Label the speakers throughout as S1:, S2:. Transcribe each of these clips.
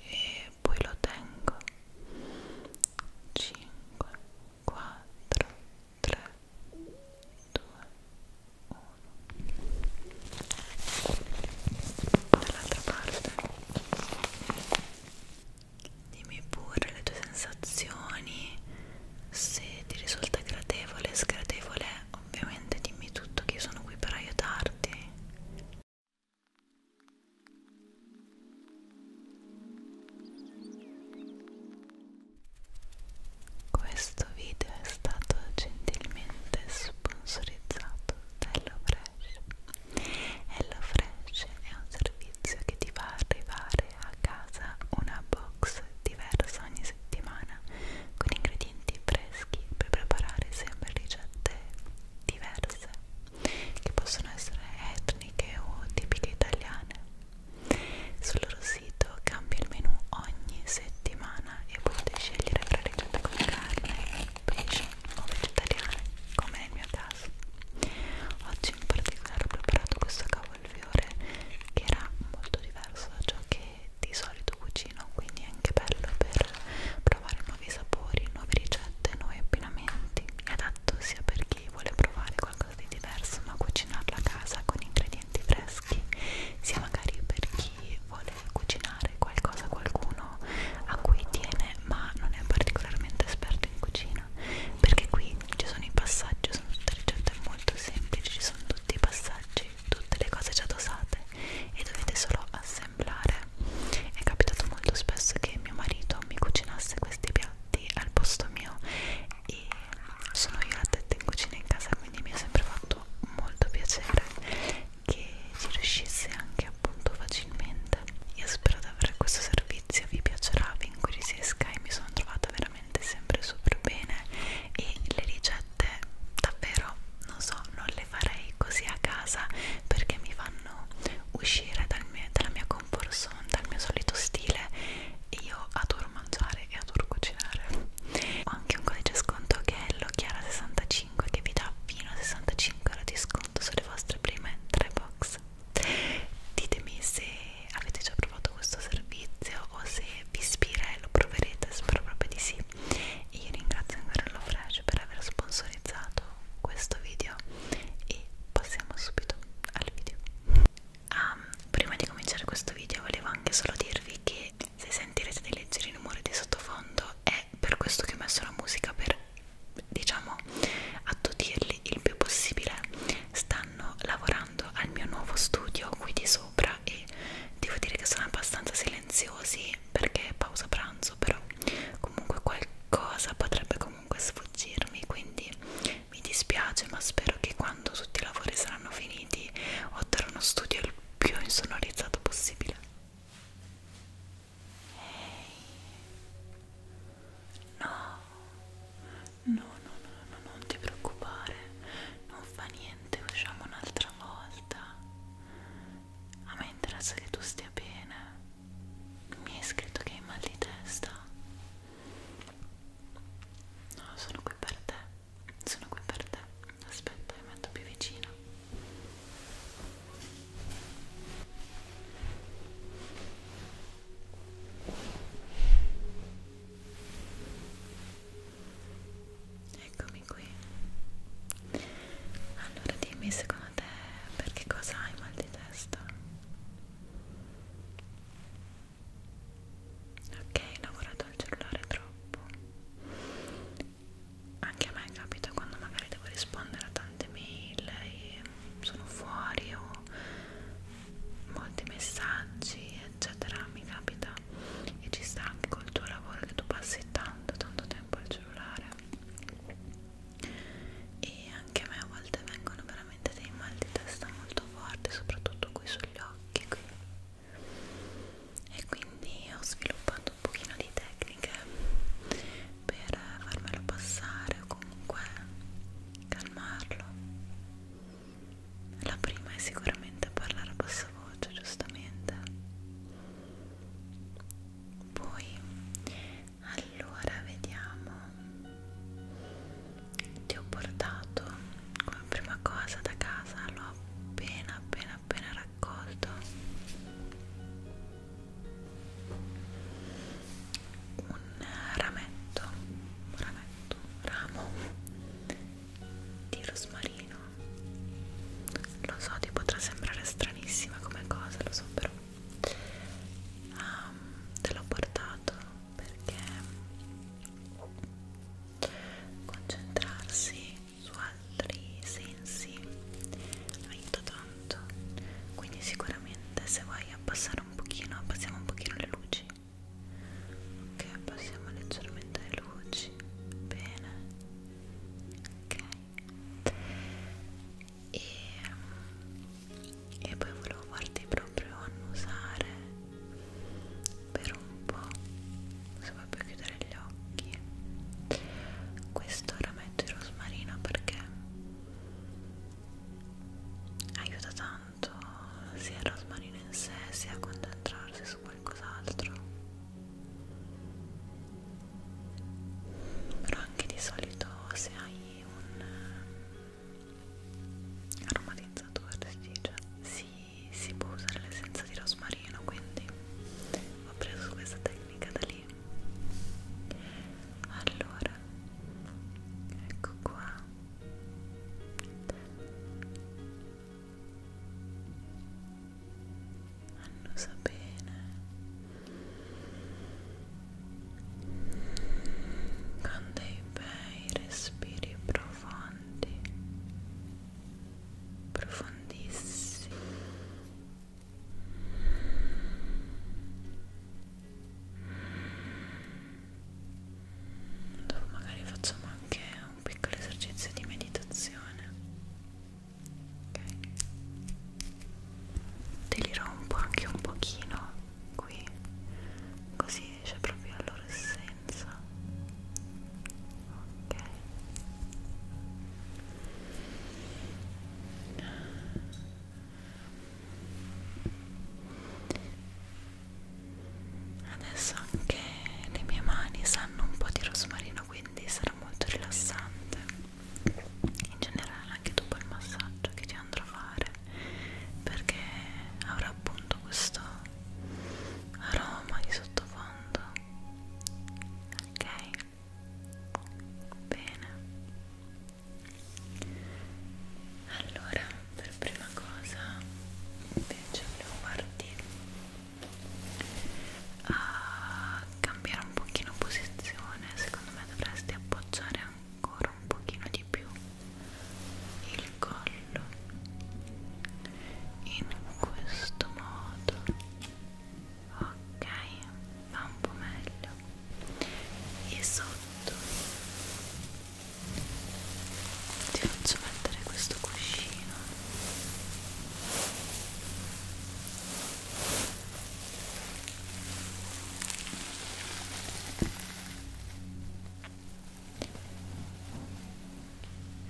S1: e poi lo tengo 5 4 3 2 1 dall'altra parte Dimmi pure le tue sensazioni, se ti risulta gradevole, sgradevole, ovviamente dimmi tutto che io sono qui per aiutarti. Questo video è stato gentilmente sponsorizzato da HelloFresh HelloFresh è un servizio che ti fa arrivare a casa una box diversa ogni settimana con ingredienti freschi per preparare sempre ricette diverse che possono essere etniche o tipiche italiane. Sul loro sito cambia il menù ogni settimana e potete scegliere tra ricette con carne, pesce o vegetariane, come nel mio caso caso oggi in particolare ho preparato questo cavolfiore che era molto diverso da ciò che di solito cucino quindi è anche bello per provare nuovi sapori, nuove ricette, nuovi abbinamenti è adatto sia per chi vuole provare qualcosa di diverso ma cucinarlo a casa con ingredienti freschi sia magari per chi vuole cucinare qualcosa a qualcuno a cui tiene ma non è particolarmente esperto in cucina cucina perché qui ci sono i passaggi, sono tutte ricette molto semplici, ci sono tutti i passaggi, tutte le cose già dosate e dovete solo assemblare. È capitato molto spesso che mio marito mi cucinasse questi piatti al posto mio e sono io la testa in cucina in casa, quindi mi ha sempre fatto molto piacere che ci riuscisse anche appunto facilmente. Io spero di avere questo servizio servizio vi piacerà, vi incuriosisca e mi sono trovata veramente sempre super bene e le ricette davvero non so, non le farei così a casa perché mi fanno uscire dal mio, dalla mia comfort zone, dal mio solito stile e io adoro mangiare e adoro cucinare ho anche un codice sconto che è l'occhiara65 che vi dà fino a 65 euro di sconto sulle vostre prime 3 box ditemi se avete già provato questo servizio o se vi ispira e lo proverete spero proprio di sì e io ringrazio ancora HelloFresh per aver sponsorizzato questo video e passiamo subito al video um, prima di cominciare questo video volevo anche solo dirvi che se sentirete dei leggeri rumori di sottofondo è per questo che ho messo la musica per diciamo attutirli il più possibile stanno lavorando al mio nuovo studio qui di sopra e devo dire che sono abbastanza silenziosi perché è pausa pranzo però comunque qualcosa potrebbe comunque sfuggirmi quindi mi dispiace ma spero che quando tutti i lavori saranno finiti otterrò uno studio il più insonorizzato possibile Ehi, hey. No, no, no, no, no, non ti preoccupare, non fa niente, usciamo un'altra volta. A me interessa che tu stia bene. Mi hai scritto che hai mal di testa. No, sono qui per te. Sono qui per te. Aspetta, mi metto più vicino. Eccomi qui. Allora dimmi secondo te perché cosa hai mal di testa? Ok, ho lavorato al cellulare troppo. Anche a me capita quando magari devo rispondere a tante mail e sono fuori o molti messaggi eccetera mi capita e ci sta anche col tuo lavoro che tu passi tanto tanto tempo al cellulare e anche a me a volte vengono veramente dei mal di testa molto forti soprattutto qui sugli occhi qui e quindi ho sviluppato un pochino di tecniche per farmelo passare o comunque calmarlo. La prima è sicuramente parlare a bassa voce, giustamente. Poi, allora, vediamo. Ti ho portato come prima cosa da casa, l'ho appena appena appena raccolto un rametto, un rametto, un ramo di rosmarino. Lo so, ti potrà sembrare stranissima come cosa, lo so, però um, te l'ho portato perché concentrarsi su altri sensi aiuta tanto quindi sicuramente se vuoi abbassare abbassare un pochino, abbassiamo un pochino le luci ok, abbassiamo leggermente le luci bene ok e, e poi volevo farti proprio annusare per un po' se vuoi puoi chiudere gli occhi questo ora metto il rosmarino perché aiuta tanto sia a rosmarino in sé sia a concentrarsi su qualcos'altro però anche di solito se hai un eh, aromatizzatore si dice si, si può usare l'essenza di rosmarino quindi ho preso questa tecnica da lì allora ecco qua annusa bene con dei bei respiri profondi profondissimi Dopo magari facciamo anche un piccolo esercizio di meditazione. Ok. Delirò un po' anche un pochino qui. Così esce proprio la loro essenza. Ok. Adesso anche le mie mani sanno un po' di rosmarino, quindi sarà molto rilassante. In generale anche dopo il massaggio che ti andrò a fare, perché avrà appunto questo aroma di sottofondo. Ok? Bene allora per prima cosa invece volevo farti a cambiare un pochino posizione secondo me dovresti appoggiare ancora un pochino di più il collo in questo modo ok va un po' meglio e sotto ti faccio mettere questo cuscino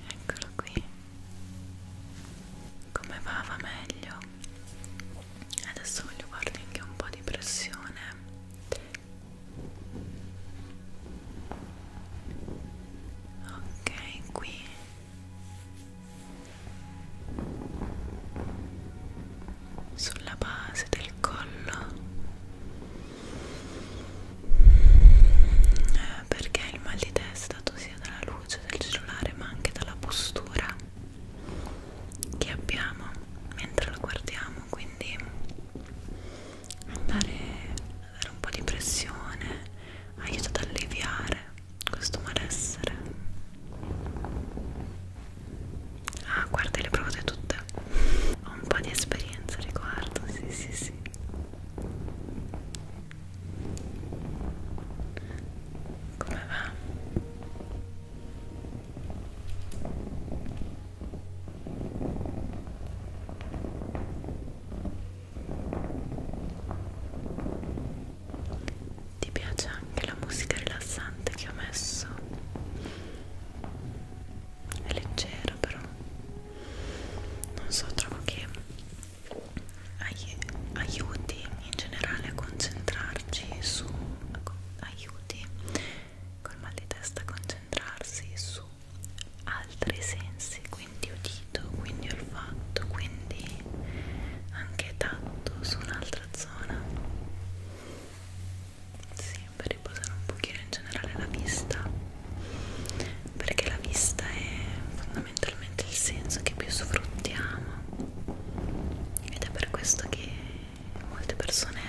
S1: eccolo qui come va va meglio adesso voglio farti anche un po' di pressione ok qui sulla base del collo eh, perché il mal di testa sia dalla luce del cellulare ma anche dalla postura che abbiamo mentre lo guardiamo quindi andare a dare un po' di pressione aiuta ad alleviare questo malessere ah guarda le provate tutte ho un po' di esperienza riguardo sì sì sì come va? Ti piace anche la musica rilassante che ho messo? È leggera però. Non so, trovo che ai aiuti in generale a concentrarci su a, co aiuti col mal di testa a concentrarsi su altri sensi, quindi udito, quindi olfatto, quindi anche tatto su un'altra zona. Sì, per riposare un pochino in generale la vista, perché la vista è fondamentalmente il senso che più sfruttiamo ed è per questo che molte persone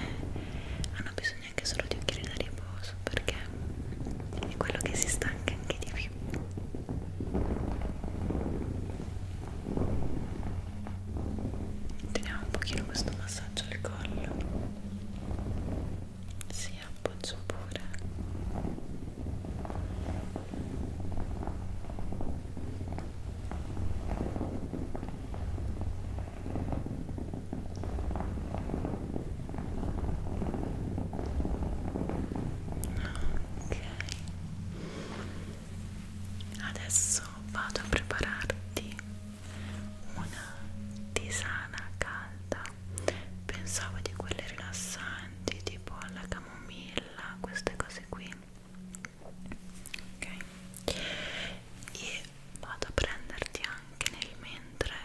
S1: hanno bisogno anche solo di occhiali da riposo perché è quello che si stanca anche di più teniamo un pochino questo massaggio al collo si appoggio pure Ok, adesso vado a prepararti una tisana calda. Pensavo di quelle rilassanti tipo alla camomilla, queste cose qui ok e vado a prenderti anche nel mentre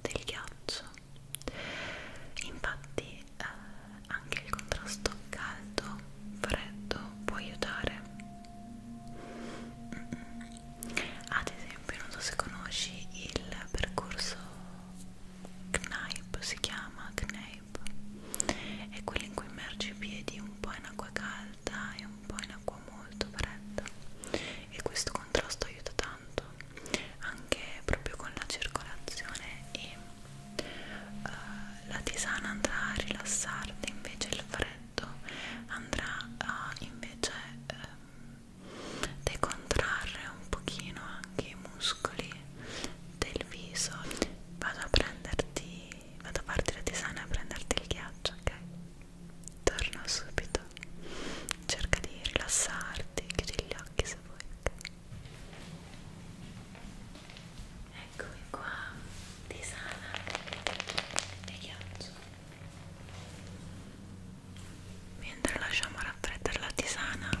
S1: del ghiaccio infatti eh, anche il contrasto caldo freddo può aiutare ad esempio non so se conosci il percorso Knaip si chiama Knaip è quello in cui immergi i piedi un po' in acqua calda alta e un po' in acqua molto fredda e questo contrasto aiuta tanto anche proprio con la circolazione e uh, la tisana andrà a rilassarti invece il freddo andrà a invece um, decontrarre un pochino anche i muscoli del viso vado a prenderti vado a farti la tisana a prenderti il ghiaccio, ok? Torno subito, cerca di rilassarti, chiudi gli occhi se vuoi, ok? Eccomi qua, tisana e ghiaccio. Mentre lasciamo raffreddare la tisana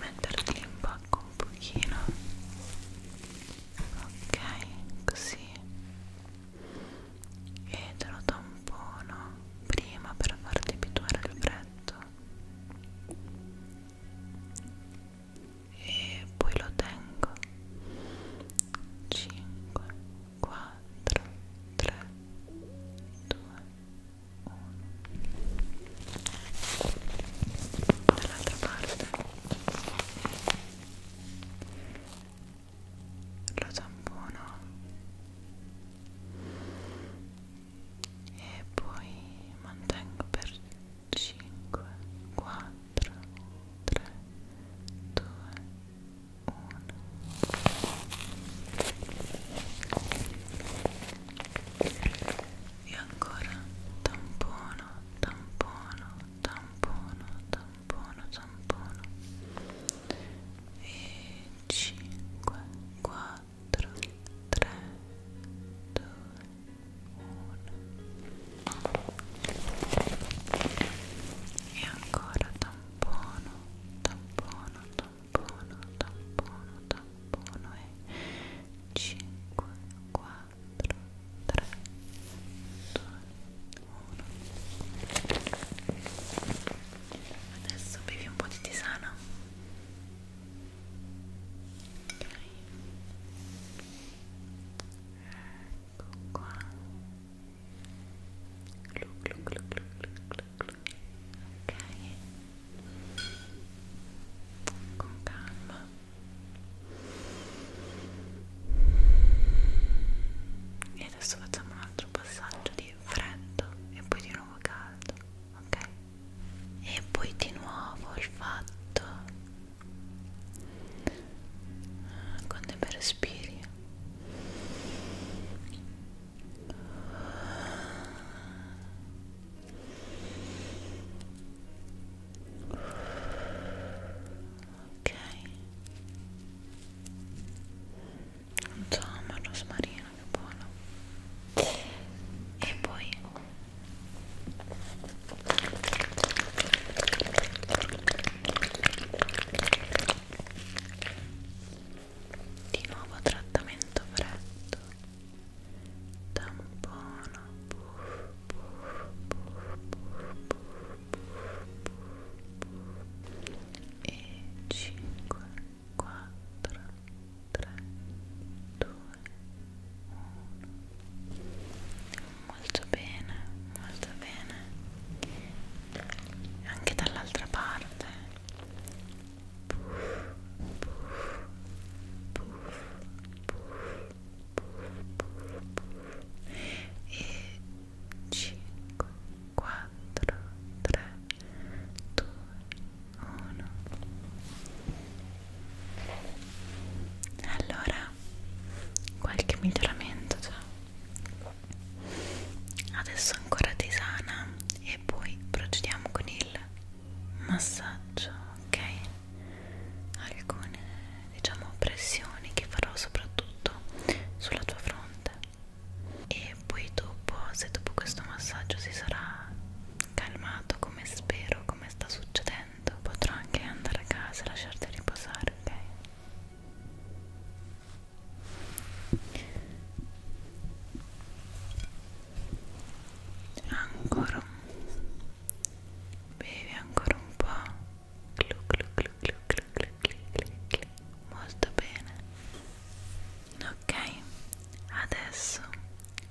S1: metterti in bocca un pochino ok così e te lo tampono prima per farti abituare al freddo e poi lo tengo 5 4 3 2 1 dall'altra parte lo tampono e poi mantengo per 5 4 3 2 1 e ancora tampono tampono tampono tampono tampono e 5 4 3 2 1 e ancora tampono tampono tampono tampono, tampono, tampono e 5, 4, 3, 2, 1 Adesso bevi un po' di tisana Ok Ecco qua Glu glu glu glu glu ok con calma e adesso facciamo un altro passaggio di freddo e poi di nuovo caldo ok e poi di nuovo il fatto con dei bei respiri Ok. Non so, ma rosmarino che buono. E poi di nuovo trattamento freddo tampono buff, buff, buff, buff, buff, e 5 4 3 2 1 molto bene molto bene anche dall'altra parte puff, puff, puff, puff, puff, puff. e 5 4 3 2 1 allora qualche miglioramento già adesso ancora tisana e e poi procediamo con il massaggio, ok? Alcune diciamo pressioni che farò soprattutto sulla tua fronte e poi dopo se dopo questo massaggio si sarà calmato come spero, come sta succedendo, potrò anche andare a casa e lasciarti riposare, ok? ancora bevi ancora un po' clu clu clu clu clu clu clu clu clu molto bene ok adesso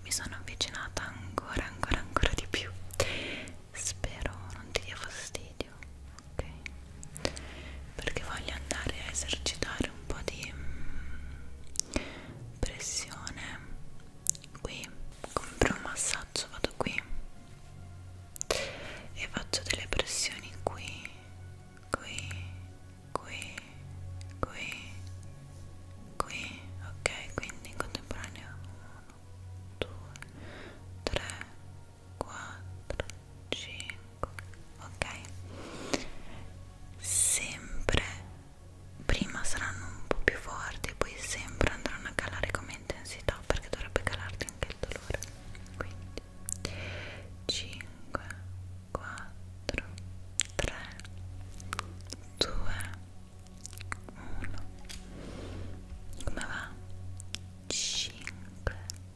S1: mi sono avvicinata ancora ancora ancora di più spero non ti dia fastidio ok perché voglio andare a esercitare un po' di mm, pressione qui compro un massaggio vado qui e faccio delle pressioni qui qui qui qui qui ok quindi in contemporanea 1 2 3 4 5 ok sempre prima saranno un po' più forti e poi sempre andranno a calare come intensità perché dovrebbe calarti anche il dolore quindi 5 4 3 2 1 come va? 5 4 3 2 1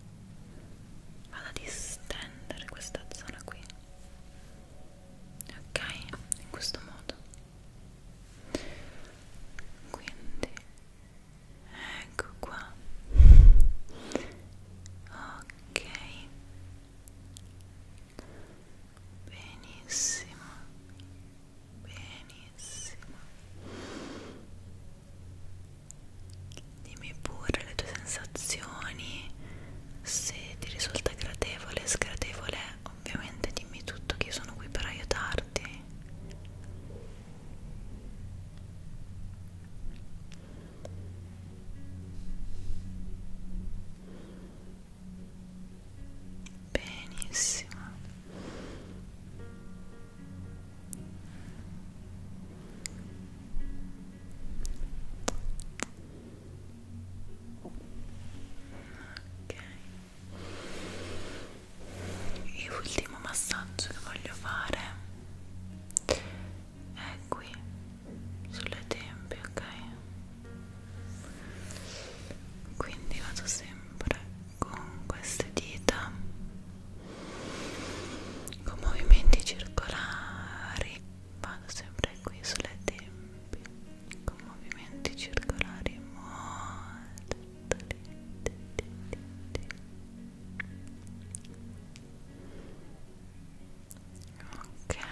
S1: vado a distendere questa zona qui ok in questo modo quindi ecco qua ok benissimo benissimo benissimo dimmi pure le tue sensazioni se ti risulta gradevole sgradevole ovviamente dimmi tutto che io sono qui per aiutarti Benissimo ok e l'ultimo massaggio che voglio fare è qui sulle tempie ok quindi vado sempre con queste dita con movimenti circolari vado sempre qui sulle tempi con movimenti circolari molto lenti, lenti. ok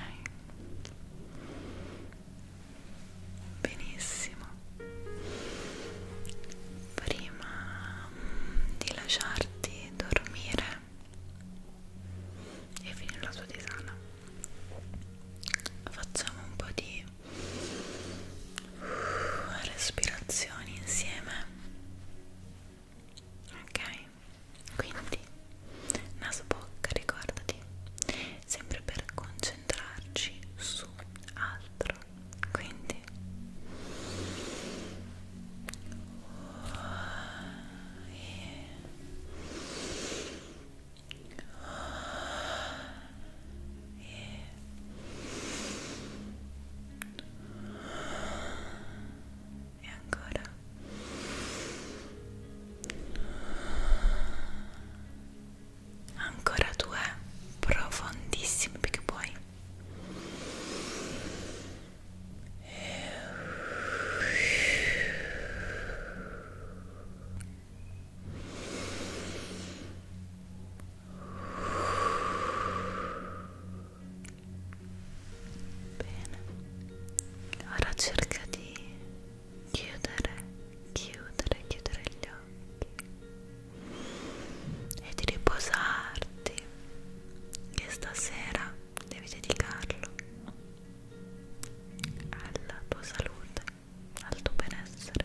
S1: benissimo prima mm, di lasciarti dormire e finire la tua tisana facciamo un po' di uh, respirazioni insieme ok quindi naso bocca ricordati sempre per concentrarci su altro quindi e ancora ancora due profondissimi perché poi Bene, ora cerca di chiudere, chiudere, chiudere gli occhi e di riposarti che stasera devi dedicarlo alla tua salute, al tuo benessere.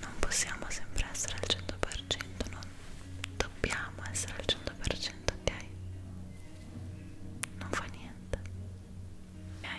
S1: Non possiamo sempre essere al 100%, non dobbiamo essere al 100%, ok? Non fa niente. Ok?